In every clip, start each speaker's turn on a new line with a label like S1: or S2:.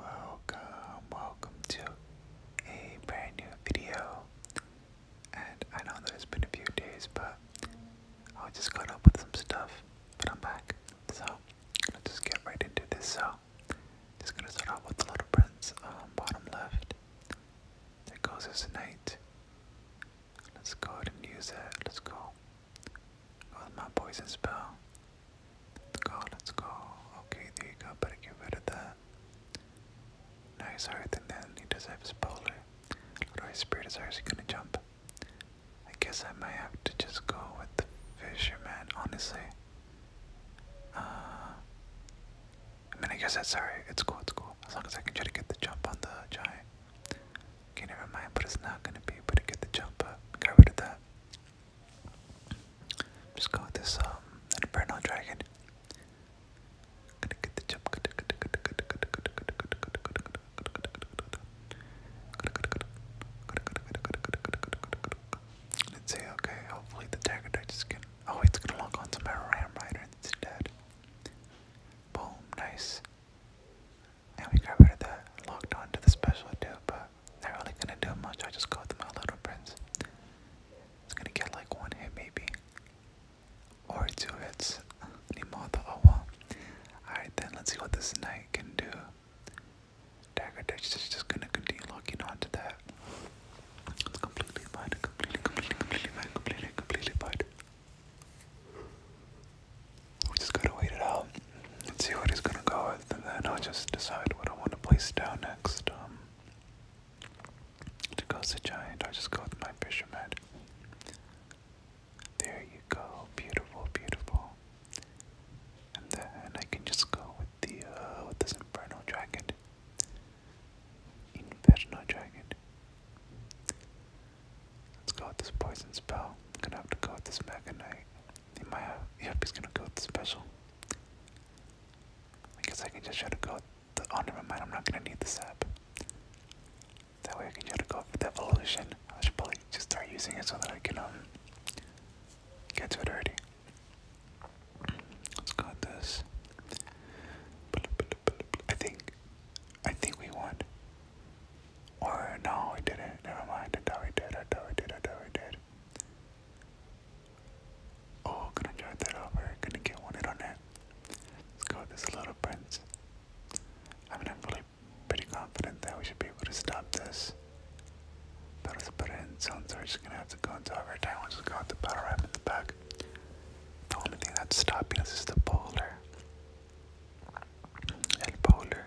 S1: Welcome, welcome to a brand new video. And I know that it's been a few days, but I just caught up with some stuff, but I'm back. So I'm just get right into this. So just gonna start off with the little prince, on um, bottom left. That goes his knight. Let's go ahead and use it. Let's go. Go with my poison spell. Let's go, let Okay, there you go. Better get rid of that. Nice heart, and then he does have his polar. I Spirit is actually gonna jump. I guess I might have to just go with the fisherman, honestly. Uh, I mean, I guess that's alright. It's cool, it's cool. As long as I can try to get the jump on the giant. Okay, never mind, but it's not gonna be able to get the jump up. Got rid of that. Just go with this um Dragon. Gonna get the jump. Let's see, okay, hopefully the dagger just can oh it's gonna lock on to my ram rider and it's dead. Boom, nice. And we got rid of that, locked on to the special too, but not really gonna do much. I just go with my little prince. It's gonna get like one hit maybe. Or two hits. Nimotha oh well. Alright then let's see what this knight can do. Dagger Ditch is just gonna continue locking on to that. It's completely fine, completely, completely, completely fine, completely, completely fine. We just gotta wait it out and see what he's gonna go with. And then I'll just decide what I want to place down next. Um, to cause a giant, i just go with my fisherman. There you go, beautiful, beautiful. And then I can just go with the uh, with this inferno dragon. Inferno dragon. Let's go with this poison spell. gonna have to go with this mega knight. Yep, he's gonna go with special. I guess I can just try to go. The, my oh, mind. I'm not gonna need this app. That way I can try to go for the evolution. I should probably just start using it so that I can um get to it early. Let's go with this. I think, I think we won. Or no, we didn't. Never mind. I thought we did. I thought we did. I thought we did. Oh, gonna drive that over. Gonna get one hit on that. Let's go with this little prince. I mean, I'm really pretty confident that we should be able to stop this. But let's so we're just gonna have to go into overtime. We'll just go with the battle rap in the back. The only thing that's stopping us is the boulder. El boulder.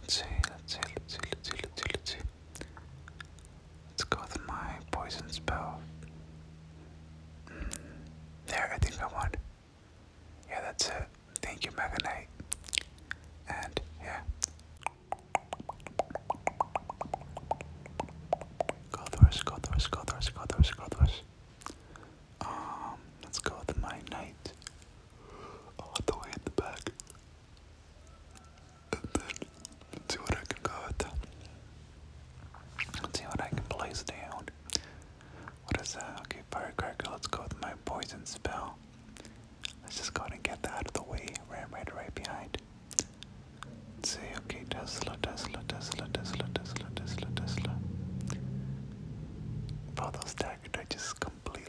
S1: Let's see, let's see, let's see, let's see, let's see, let's see. Let's go with my poison spell. Mm, there, I think I won. Yeah, that's it. Thank you, Mega Knight. And yeah. Go Thor's, go Thor's, go Thor's, go Thor's, go Thor's. Um, let's go with my knight all the way in the back. And then let's see what I can go with. Let's see what I can place down. What is that? Okay, firecracker, let's go with my poison spell. Let's just go ahead and get that out of the way. Right, right, right behind. Let's see, okay, Tesla, Tesla, Tesla, Tesla, Tesla, Tesla, Tesla. Wow, those daggers, I just completely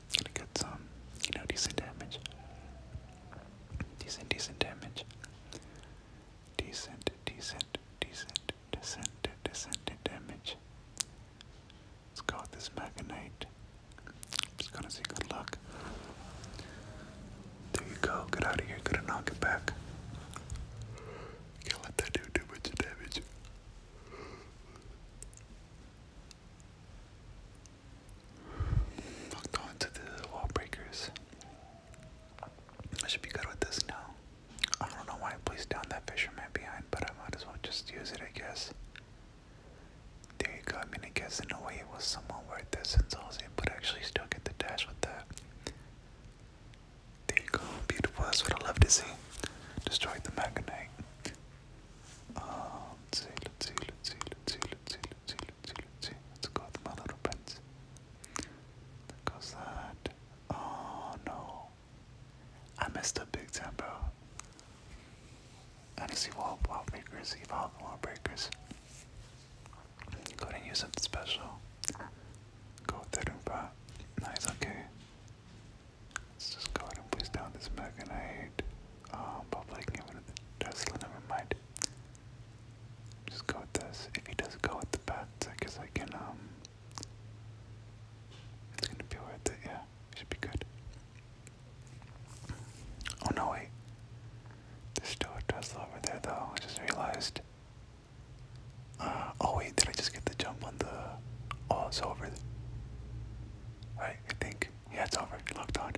S1: gonna get some, you know, decent damage. Decent, decent damage. Decent, decent, decent, decent, decent damage. Let's go with this Mega Knight. Just gonna say good luck. There you go. Get out of here. Gonna knock it back. Can't let that dude do much damage. Locked to the wall breakers. I should be good with this now. I don't know why I placed down that fisherman behind, but I might as well just use it, I guess. There you go. I mean, it gets in a way it was somewhat worth it since I was able but actually still get the dash with that. There you go. Beautiful. That's what I love to see. Destroyed the Magonite. Um, let's see, let's see, let's see, let's see, let's see, let's see, let's see, let's see. Let's go with my little prince. There goes that. Oh no. I messed up big time, bro. I need to see wall wall breakers, evolve wall breakers. Go ahead and use something special. Go with the Roomba. Nice, okay. Let's just go and place down this Meganite. Um, probably get rid of the Tesla, never mind. Just go with this. If he does go with the bats, I guess I can, um. It's gonna be worth it, yeah. should be good. Oh no, wait. There's still a Tesla over there, though. I just realized. Uh, oh wait, did I just get the jump on the. Oh, it's over. Alright, I think, yeah, it's over, locked on.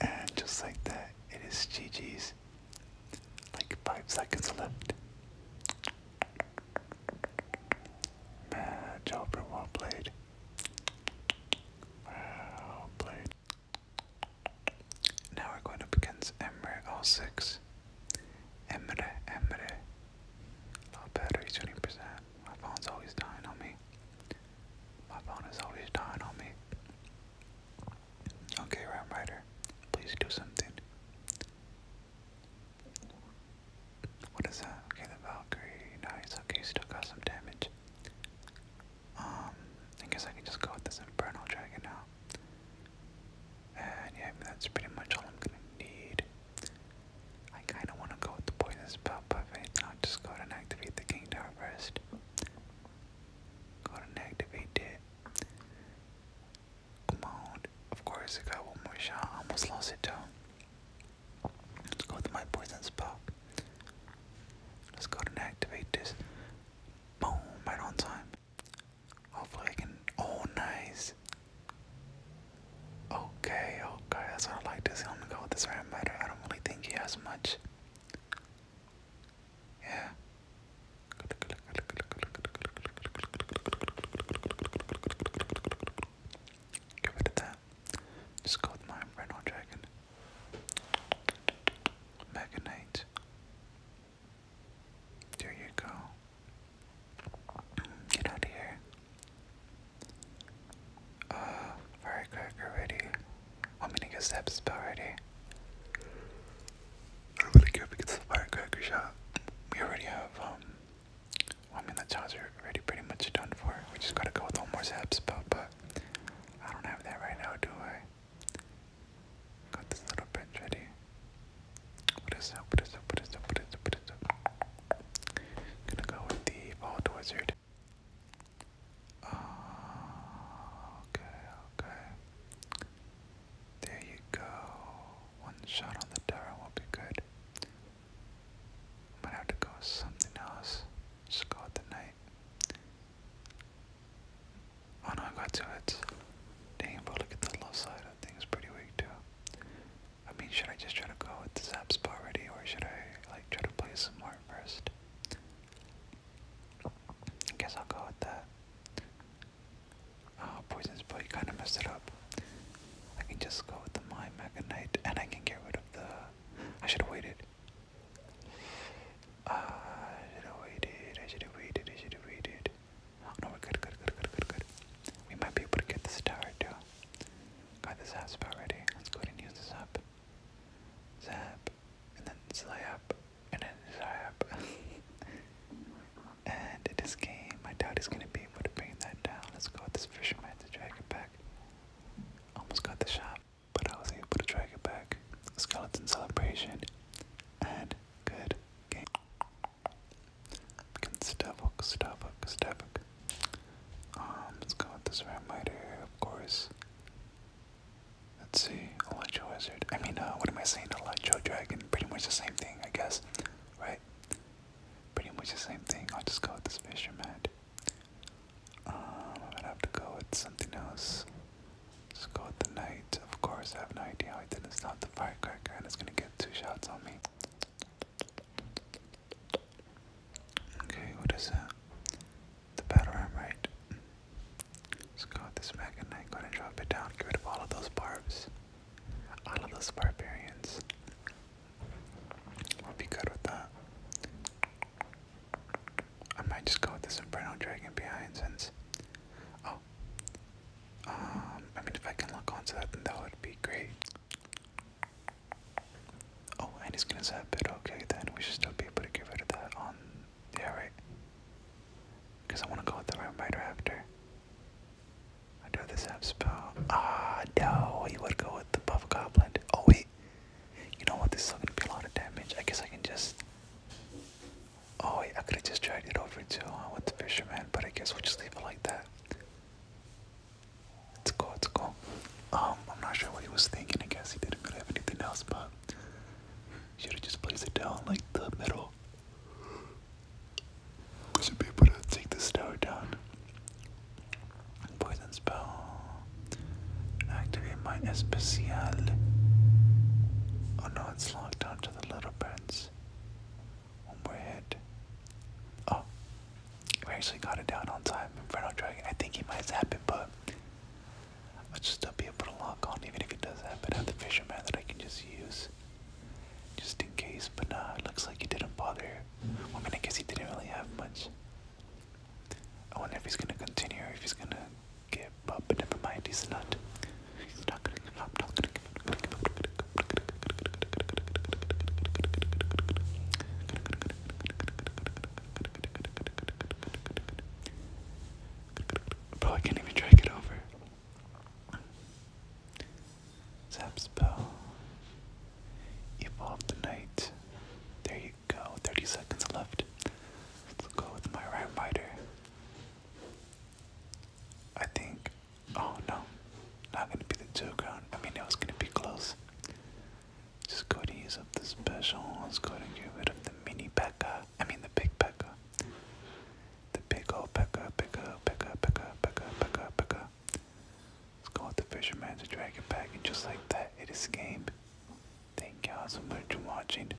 S1: And just like that, it is GG's. Like five seconds left. Bad job, well played. Well played. Now we're going up against Emre 06. Emre, Emre, Low battery shooting percent. My phone's always dying on me. My phone is always dying on me. Okay, Ram Rider, please do something. What is that? Okay, the Valkyrie. Nice. Okay, still got some damage. Um, I guess I can just go with this Infernal Dragon now. And yeah, that's pretty much all I'm gonna need. I kinda wanna go with the poison spell buffet, I'll just go ahead and activate the King Tower first. Go ahead and activate it. Come on. Of course I got one more shot. I almost lost it too. Let's go with my poison spell. Let's go ahead and activate this. Boom, right on time. Hopefully I can oh nice. Okay, okay, that's what I like to see. I'm gonna go with this red matter. I don't really think he has much. Yeah. Get rid that. Just go with my Dragon. Mega Knight. There you go. Get out of here. Uh, firecracker ready. I'm gonna get zap spell ready. I don't really care if we get the firecracker shot. We already have, um, I mean, the charge are already pretty much done for. We just gotta go with one more zap spell, but I don't have that right now, do I? Got this little bench ready. What is up? What is up? What is up? What is up? What is up? Gonna go with the Vault Wizard. Oh, okay, okay. There you go. One shot on the tower will be good. Might have to go something else. Just the knight. Oh no, I got two hits. Dang, but look at the left side. That thing's pretty weak too. I mean, should I just try to go with the zap spot already, or should I like try to play some more first? I guess I'll go with that. Oh, poison's boy, you kind of messed it up. I can just go with the my Knight, and I can get rid of the. I should have waited. Uh, I should have waited. I should have waited. I should have waited. Oh, no, we're good, good, good, good, good, good. We might be able to get this tower too. Got the zap spell ready. Let's go ahead and use this up. Zap. And then slay up. And then slay up. and this game, I doubt he's gonna be able to bring that down. Let's go with this fisherman to drag it back. Almost got the shot, but I was able to drag it back. Skeleton celebration. And good game. Can stomach, stomach, stomach. Um, let's go with this Ramiter, of course. Let's see, Electro Wizard. I mean, uh, what am I saying? Electro Dragon. Pretty much the same thing, I guess. Right? Pretty much the same thing. I'll just go with this Fisherman. Um, I am gonna have to go with something else. Just go with the Knight. Of course, I have no idea how I didn't stop the Firecracker, and it's gonna get two shots on me. Okay, what is that? The battle ram, right? Let's go this mech and go ahead and drop it down. Get rid of all of those barbs. All of those barbarians. We'll be good with that. I might just go with this Inferno Dragon behind since. Oh. Um, I mean, if I can lock onto that, then that would be great. Oh, and he's gonna zap it. Okay, then we should still be able to get rid of that on. Yeah, right. Because I want to go with the right raptor. I do this app spell. Ah, no, he would go with the buff goblin. Oh, wait. You know what? This is gonna be a lot of damage. I guess I can just. Oh, wait, I could have just dragged it over too uh, with the fisherman, but I guess we'll just leave it like that. It's cool, it's cool. Um, I'm not sure what he was thinking. I guess he didn't really have anything else, but should have just placed it down like the middle. We should be able to take this down. Poison spell. Activate my especial. Oh no, it's locked onto the little birds. One more hit. Oh, we actually got it down on time. Inferno Dragon. I think he might zap it, but I'll just still be able to lock on even if it does happen. I have the fisherman that I can just use. Just in case, but nah, looks like he didn't bother. I mean, I guess he didn't really have much. I wonder if he's gonna continue or if he's gonna give up, but never mind, he's not. Bro, I can't even drag it over. Zap spell. Evolve the night. There you go. 30 seconds left. Let's go with my Rhyme Rider. I think. Oh no. Not gonna be the two ground. I mean, it was gonna be close. Just go to use up the special. Let's go and get rid of the mini Pekka. I mean the big Pekka. The big old Pekka, Pekka, Pekka, Pekka, Pekka, Pekka, Pekka. Let's go with the fisherman to drag it back, and just like that, it escaped. Thank y'all so much for watching.